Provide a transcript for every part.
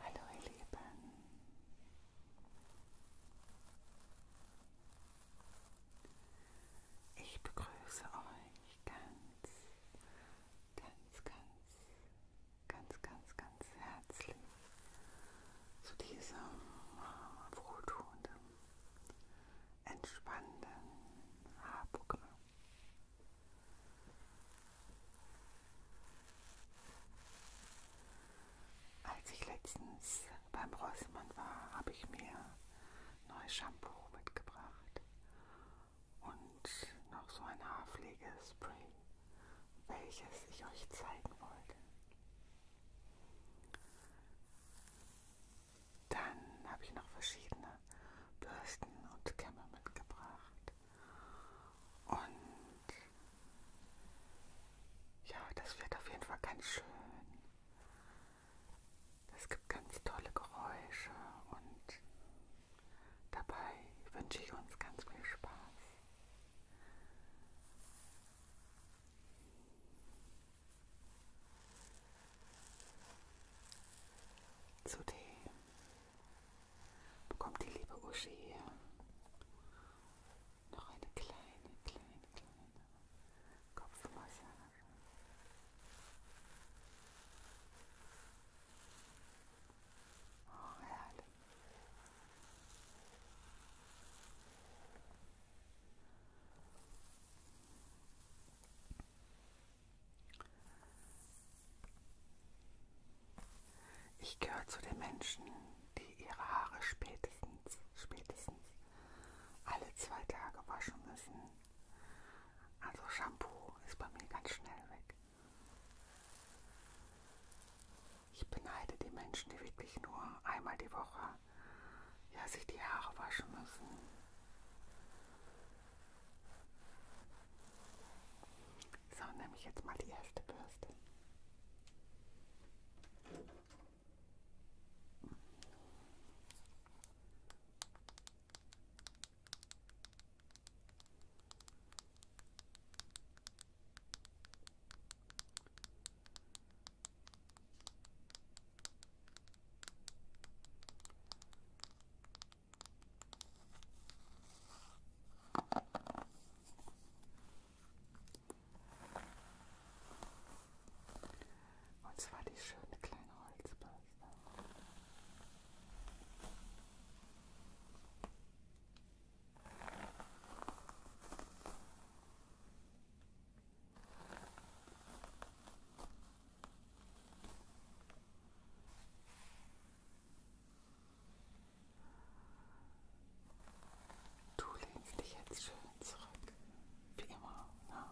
Hallo ihr Lieben. Ich begrüße euch ganz, ganz, ganz ganz, ganz, ganz herzlich zu diesem äh, wohltuenden, entspannenden Haarprogramm. Als ich letztens beim Rossmann war, habe ich mir neues Shampoo mitgebracht und noch so ein Haarpflegespray, welches ich euch zeigen wollte. Dann habe ich noch verschiedene Bürsten und Kämme mitgebracht. Und ja, das wird auf jeden Fall ganz schön. Es gibt ganz tolle Geräusche und Dabei wünsche ich uns ganz viel Spaß. Zudem bekommt die liebe Uschi hier noch eine kleine, kleine, kleine Kopfmassage. Oh, herrlich. Ich gehöre zu den Menschen, die ihre Haare spätestens, spätestens alle zwei Tage waschen müssen. Also Shampoo ist bei mir ganz schnell weg. Ich beneide die Menschen, die wirklich nur einmal die Woche ja, sich die Haare waschen müssen. So, nehme ich jetzt mal die erste Bürste. Und zwar die schöne kleine Holzbirne. Du lehnst dich jetzt schön zurück, wie immer. Ne?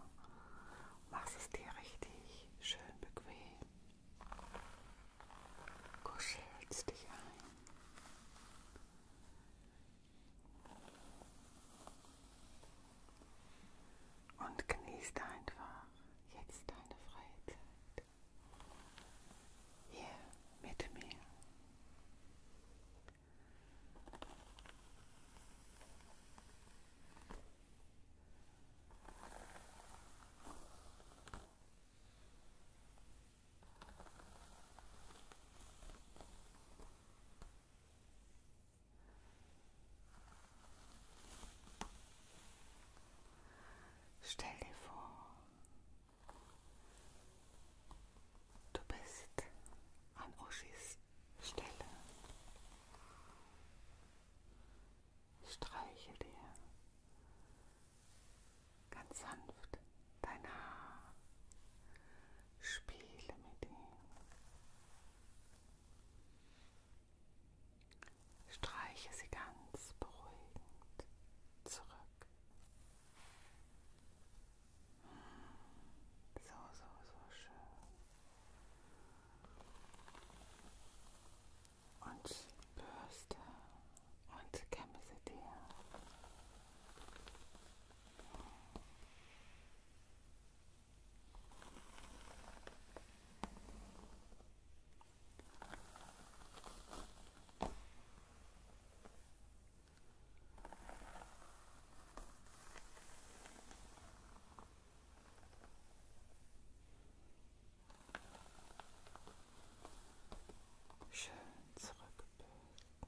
Machst es dir richtig schön bequem. Kuschelst dich ein. Und genießt einfach jetzt deine freie Zeit. Hier mit mir. Stell dir vor, du bist an Uschis Stelle streiche dir ganz sanft dein Haar, spiele mit ihm, streiche sie ganz beruhigend zurück. Hm, so, so, so schön und Bürste und kämme sie dir. Schön zurückbilden. Schön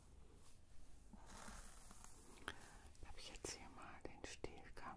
Habe ich jetzt hier mal den Stielkamm.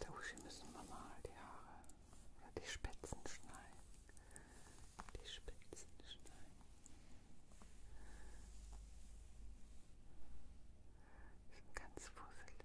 Der Uschi müssen wir mal die Haare oder die Spitzen schneiden. Die Spitzen schneiden. Die sind ganz fusselig.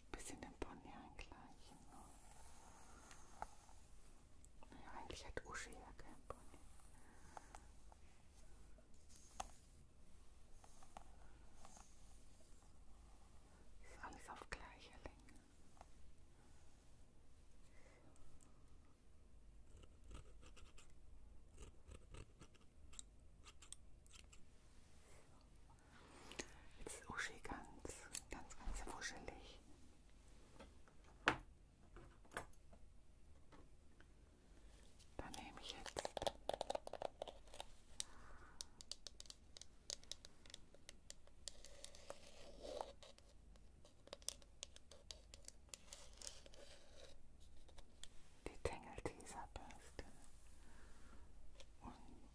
Ein bisschen den Pony eingleichen. Ne? Naja, eigentlich hat Uschi ja keinen Pony. Das ist alles auf gleicher Länge. So. Jetzt ist Uschi ganz, ganz, ganz wuschelig. Dann nehme ich jetzt die Tangle Teaser Bürste und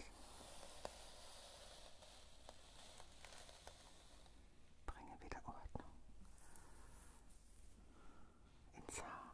bringe wieder Ordnung ins Haar.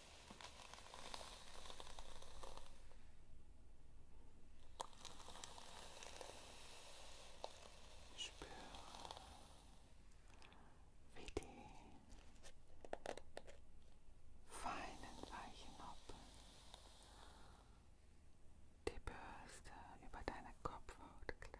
Spür, wie die feinen weichen Noppen die Bürste über deine Kopfhaut gleitet.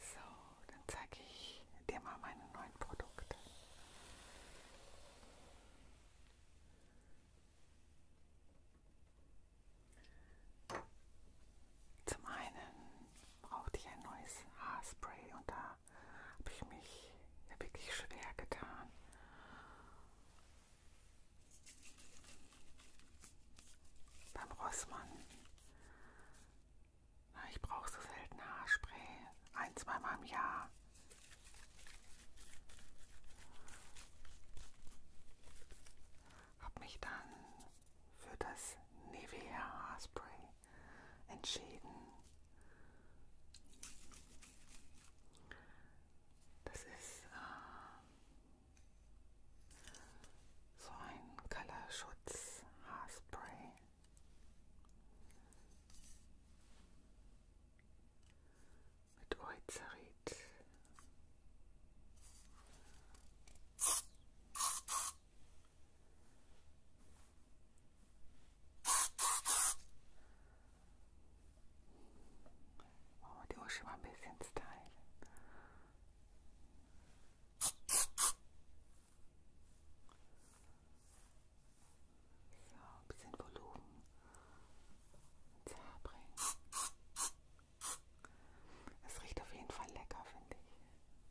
So, dann zeige ich dir mal meine neuen Produkte. Zum einen brauchte ich ein neues Haarspray und da habe ich mich ja wirklich schwer getan. Beim Rossmann. Na, ich brauche so selten Haarspray. Ein, zweimal im Jahr. Habe mich dann für das Nivea Haarspray entschieden. Das ist äh, so ein Color Schutz Haarspray. Mit Oizerit. Oh, die Uschi war ein bisschen Style. So, ein bisschen Volumen ins Haar bringen. Es riecht auf jeden Fall lecker, finde ich.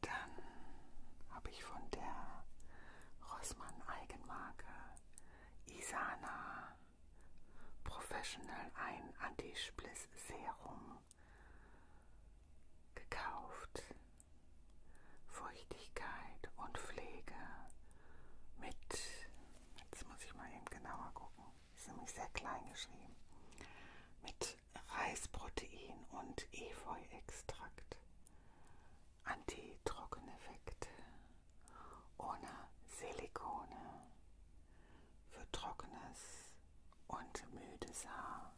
Dann habe ich von der Rossmann Eigenmarke Isana Professional ein Anti-Spliss Serum gekauft. Feuchtigkeit und Pflege mit, jetzt muss ich mal eben genauer gucken, ist nämlich sehr klein geschrieben, mit Reisprotein und Efeuextrakt. Anti-Trockeneffekt ohne Silikone für trockenes und müdes Haar.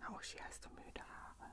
Na, Uschi, hast du müde Haare?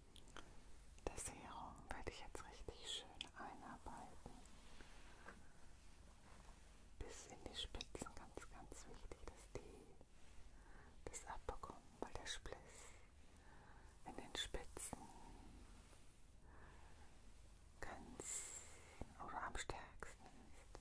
Das Serum werde ich jetzt richtig schön einarbeiten. Bis in die Spitzen, ganz, ganz wichtig, dass die das abbekommen, weil der Spliss in den Spitzen ganz oder am stärksten ist.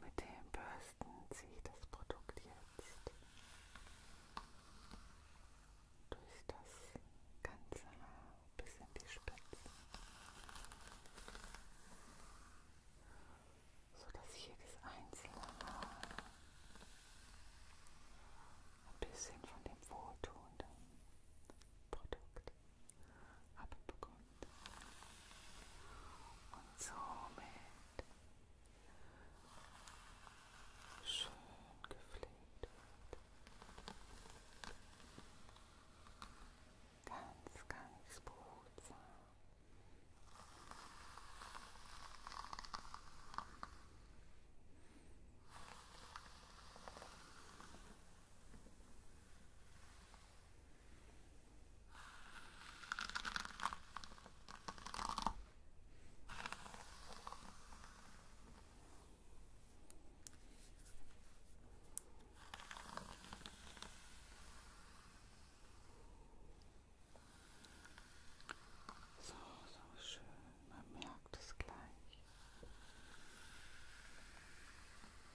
Mit den Bürsten ziehe ich das Produkt jetzt durch das ganze Haar bis in die Spitze, sodass jedes einzelne Haar ein bisschen von dem wohltuenden Produkt abbekommt. Und somit schön gepflegt wird. Ganz, ganz behutsam. Und so, so schön, man merkt es gleich.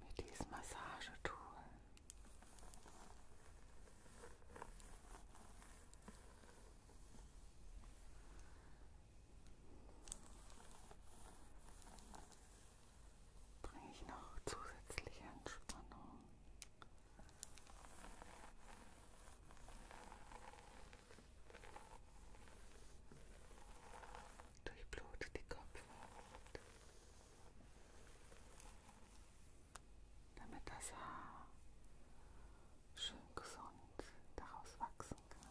Mit diesem Massagetool bringe ich noch zusätzliche Entspannung. Durchblutet die Kopfhaut, damit das Haar schön gesund daraus wachsen kann.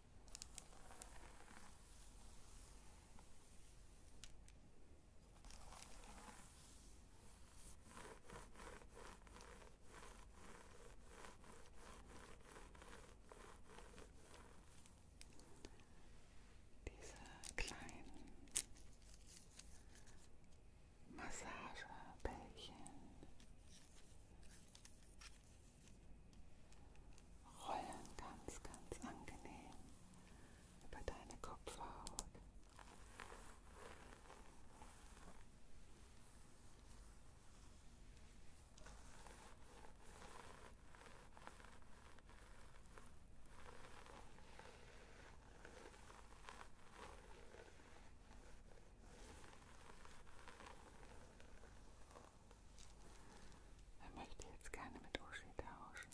Diese kleinen Massagebällchen rollen ganz, ganz angenehm über deine Kopfhaut. Er möchte jetzt gerne mit Uschi tauschen.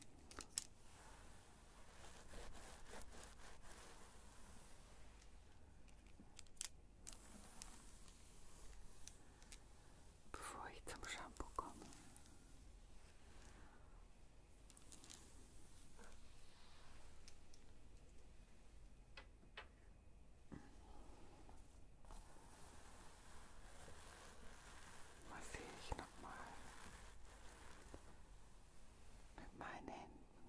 Bevor ich zum Shampoo komme. Massiere ich nochmal mit meinen Händen.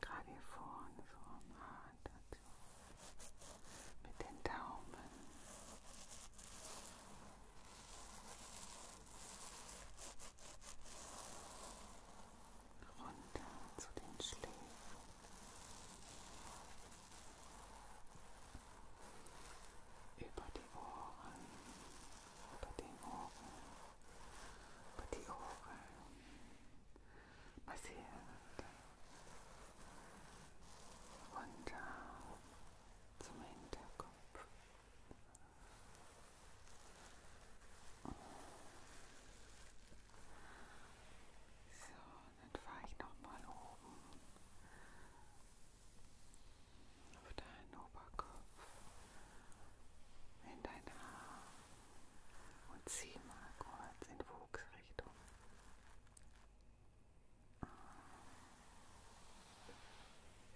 Gerade hier vorne so am Haar dazu. Mit den Daumen. Runter zu den Schläfen. Über die Ohren, über den Ohren über die Ohren massiert runter zum Hinterkopf. So, dann fahre ich nochmal oben auf deinen Oberkopf in dein Haar und zieh mal kurz in Wuchsrichtung.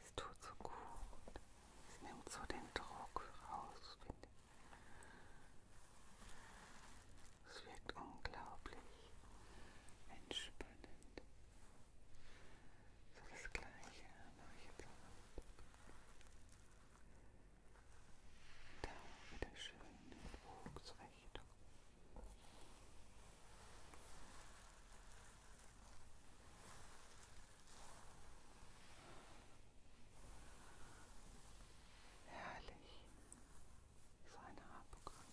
Es tut so gut. Es nimmt so den Druck raus, finde ich. Es wirkt unglaublich entspannend. So das gleiche mache ich jetzt auch. Da wieder schön den Bogen zurecht. Herrlich. So eine Haarprogramm.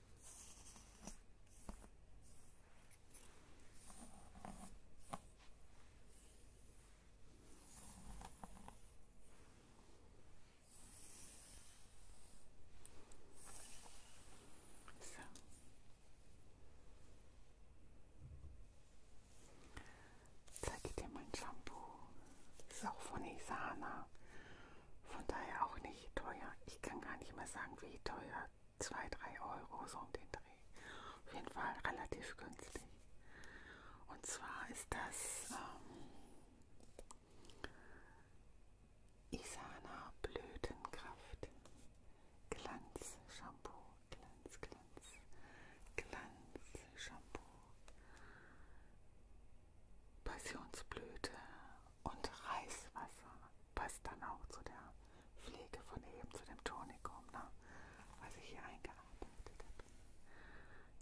So. Zeige dir mein Shampoo. Das ist auch von Isana. Von daher auch nicht teuer. Ich kann gar nicht mehr sagen, wie teuer. 2, 3 Euro so um den Dreh. Auf jeden Fall relativ günstig. Und zwar ist das ähm, Isana Blütenkraft Glanz Shampoo. Glanz, Glanz, Glanz Shampoo. Passionsblüte und Reiswasser passt dann auch zu der Pflege von eben, zu dem Tonikum, ne? was ich hier eingearbeitet habe.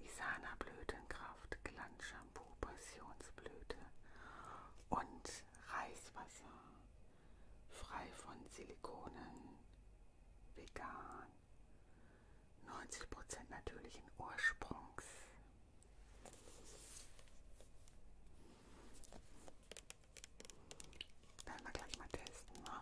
Isana Blütenkraft, Glanzshampoo, Passionsblüte und Reiswasser, frei von Silikonen, vegan, 90% natürlichen Ursprungs werden wir gleich mal testen, ne?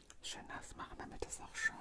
schön nass machen, damit es auch schäumt.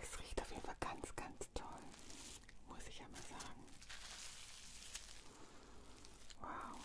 Es riecht auf jeden Fall ganz, ganz toll, muss ich ja mal sagen. Wow.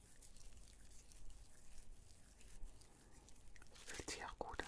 Fühlt sich auch gut an.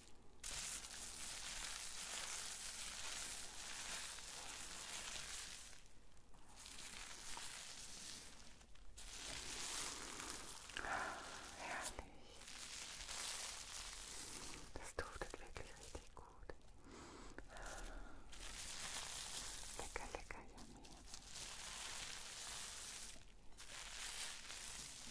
Herrlich. Das duftet wirklich richtig gut. Lecker, lecker, yummy.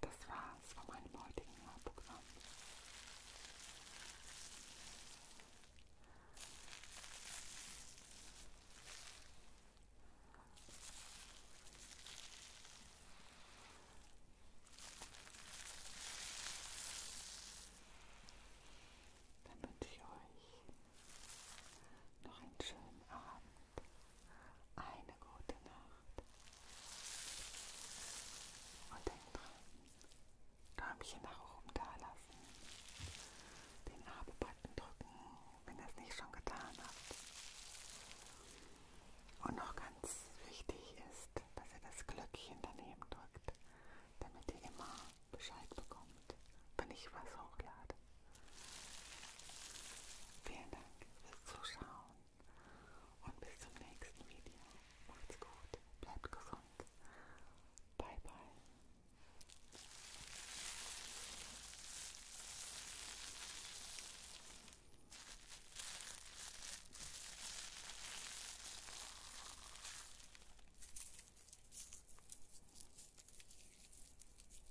Das war's von meinem heutigen Hörprogramm. Dann wünsche ich euch noch einen schönen Abend eine gute Nacht. Und denk dran, Däumchen nach oben da lassen. Den Abo-Button drücken, wenn ihr es nicht schon getan habt. Und noch ganz wichtig ist, dass ihr das Glöckchen daneben drückt, damit ihr immer Bescheid bekommt, wenn ich was hochlade. Vielen Dank fürs Zuschauen und bis zum nächsten Video. Macht's gut, bleibt gesund. Bye bye.